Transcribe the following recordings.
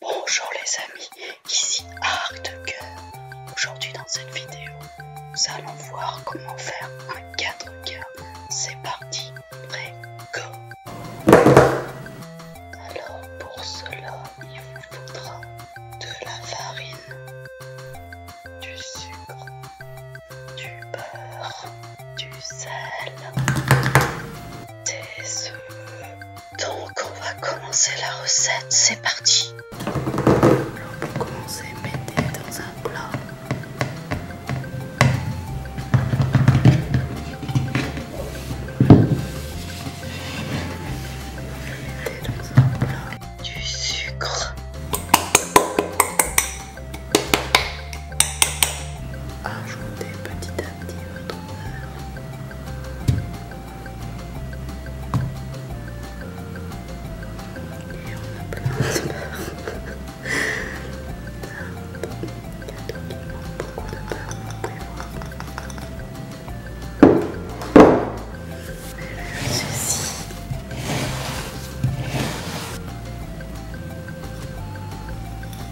Bonjour les amis, ici Arc de Cœur. Aujourd'hui dans cette vidéo, nous allons voir comment faire un 4 cœurs. C'est parti, prêt, go Alors pour cela, il vous faudra de la farine, du sucre, du beurre, du sel, des œufs. Donc on va commencer la recette, c'est parti. On va commencer à dans un plat. Dans un plat. Du sucre. Ajoutez petit à petit votre Et on a plein de beurre. beaucoup de vous pouvez voir. Ceci.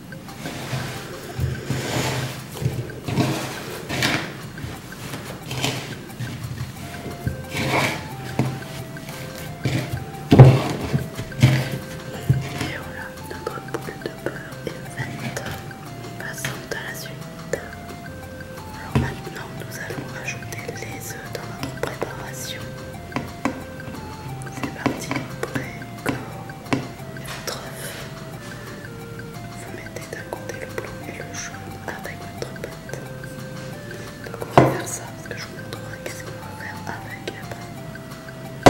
Et voilà, notre boule de beurre est faite. Passons à la suite. Alors maintenant, nous allons ajouter les œufs dans notre préparation. C'est parti, prêt, encore. Vous mettez d'un côté le blanc et le jaune avec votre pâte. Donc on va faire ça parce que je vous avec Le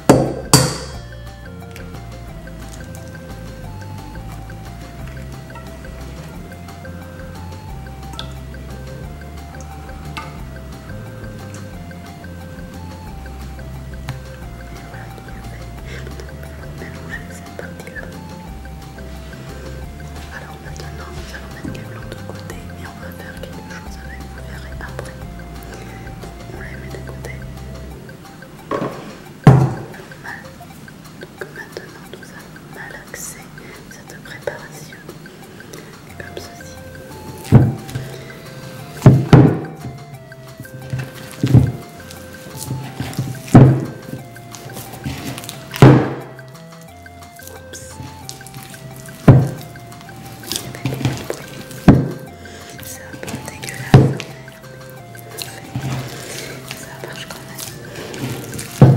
Alors maintenant nous allons mettre les blancs de côté mais on va faire quelque chose avec, vous verrez après. On les mettre côté. Maintenant nous avons allons malaxer cette préparation comme ceci. dégueulasse. Ça marche quand même. Euh,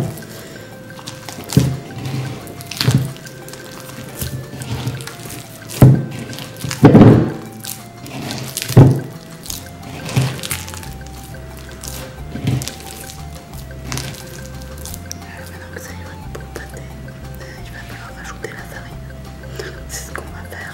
maintenant que ça y est, je vais pouvoir ajouter la farine. C'est ce qu'on va faire.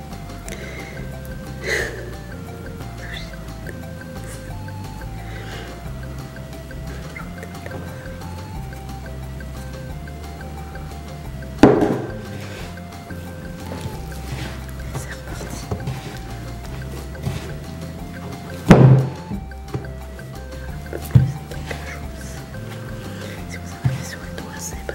C'est reparti. Si vous avez sur les doigts, c'est pas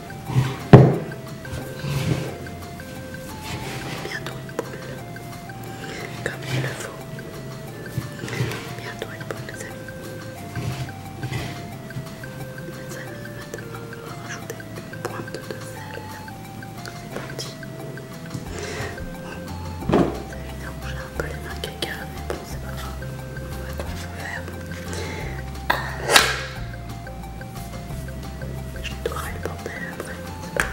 Bientôt une boule, comme il le faut. Bientôt une boule, les amis. Les amis, maintenant, on va rajouter une pointe de sel. C'est parti. C'est évident que un peu les mains mais bon, c'est pas grave. On va tout faire. Je devrais le bordel après, c'est pas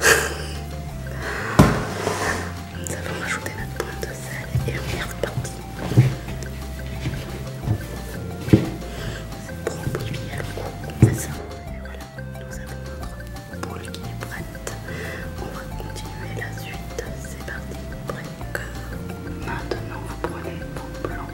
grave. Nous avons rajouté notre pointe de sel et on est reparti. C'est trop bon, c'est ça. Et voilà, nous avons notre boule qui est prête. On va continuer la suite. C'est parti. Maintenant, vous prenez pomme blanche.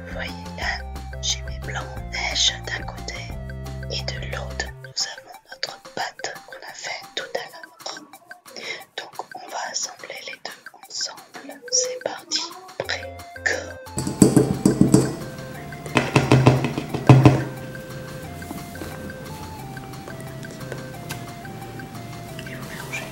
Voyez là, j'ai mes blancs en neige d'un côté et de l'autre nous avons notre pâte qu'on a fait tout à l'heure. Donc on va assembler les deux ensemble. C'est parti, prêt, go mélangez.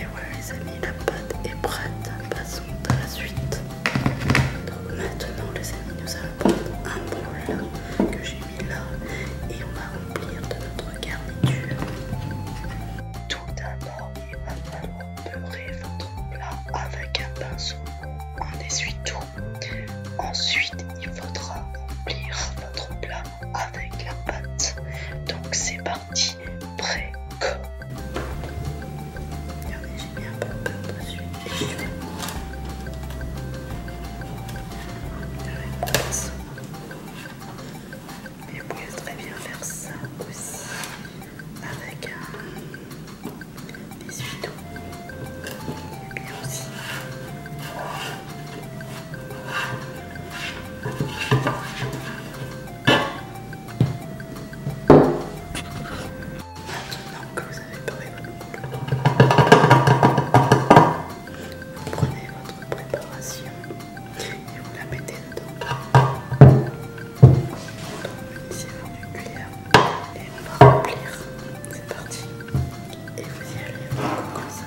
Et voilà les amis, la pâte est prête, passons à la suite. Donc maintenant les amis, nous allons prendre un bon que j'ai mis là et on va remplir de notre garniture. Tout d'abord, il va falloir beurrer votre plat avec un pinceau, on essuie-tout. Ensuite, il faudra remplir votre plat avec la pâte. Donc c'est parti, prêt j'ai mis un peu de dessus. très bien faire ça aussi avec un essuie Maintenant que vous avez parlé votre langue, vous prenez votre préparation et vous la mettez dedans. Ici, une cuillère et on va remplir. C'est parti. Et vous y allez comme ça.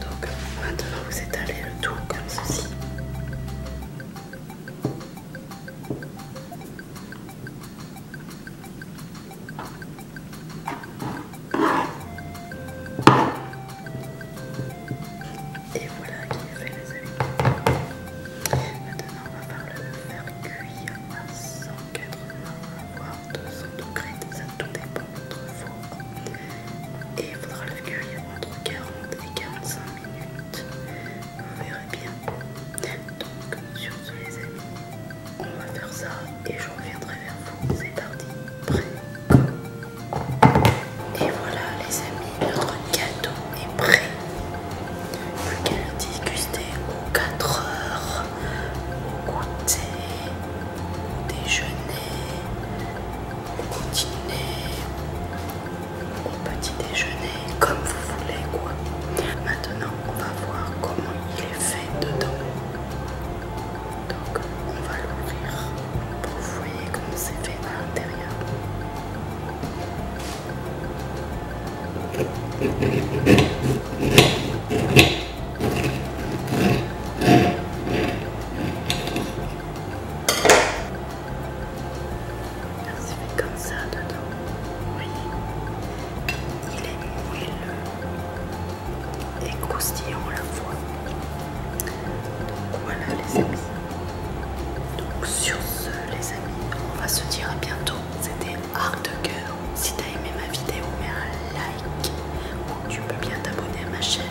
Donc maintenant vous étalez le tout comme ceci. Et voilà qui est fait les amis. Maintenant on va faire le faire cuire 80, voire 200 degrés, ça tout dépend de votre Et il faudra le cuire entre 40 et 45 minutes. Vous verrez bien. Donc sur ce les amis, on va faire ça et je reviendrai vers vous. C'est parti, prêt et voilà les amis, notre gâteau est prêt pouvez le déguster aux 4 heures, au goûter, au déjeuner, au dîner, au petit déjeuner, comme vous voulez quoi. Maintenant on va voir comment il est fait dedans. Donc on va l'ouvrir pour vous voyez comment c'est fait à l'intérieur. C'est fait comme ça dedans. Vous voyez, il est mouilleux et croustillant à la fois. Donc voilà les amis. Donc sur ce les amis, on va se dire à bientôt. C'était Art de Cœur si t'as aimé ma vidéo, mets un like ou tu peux bien t'abonner à ma chaîne.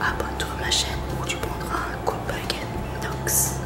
Abonne-toi à ma chaîne ou tu prendras un coup de baguette Nox.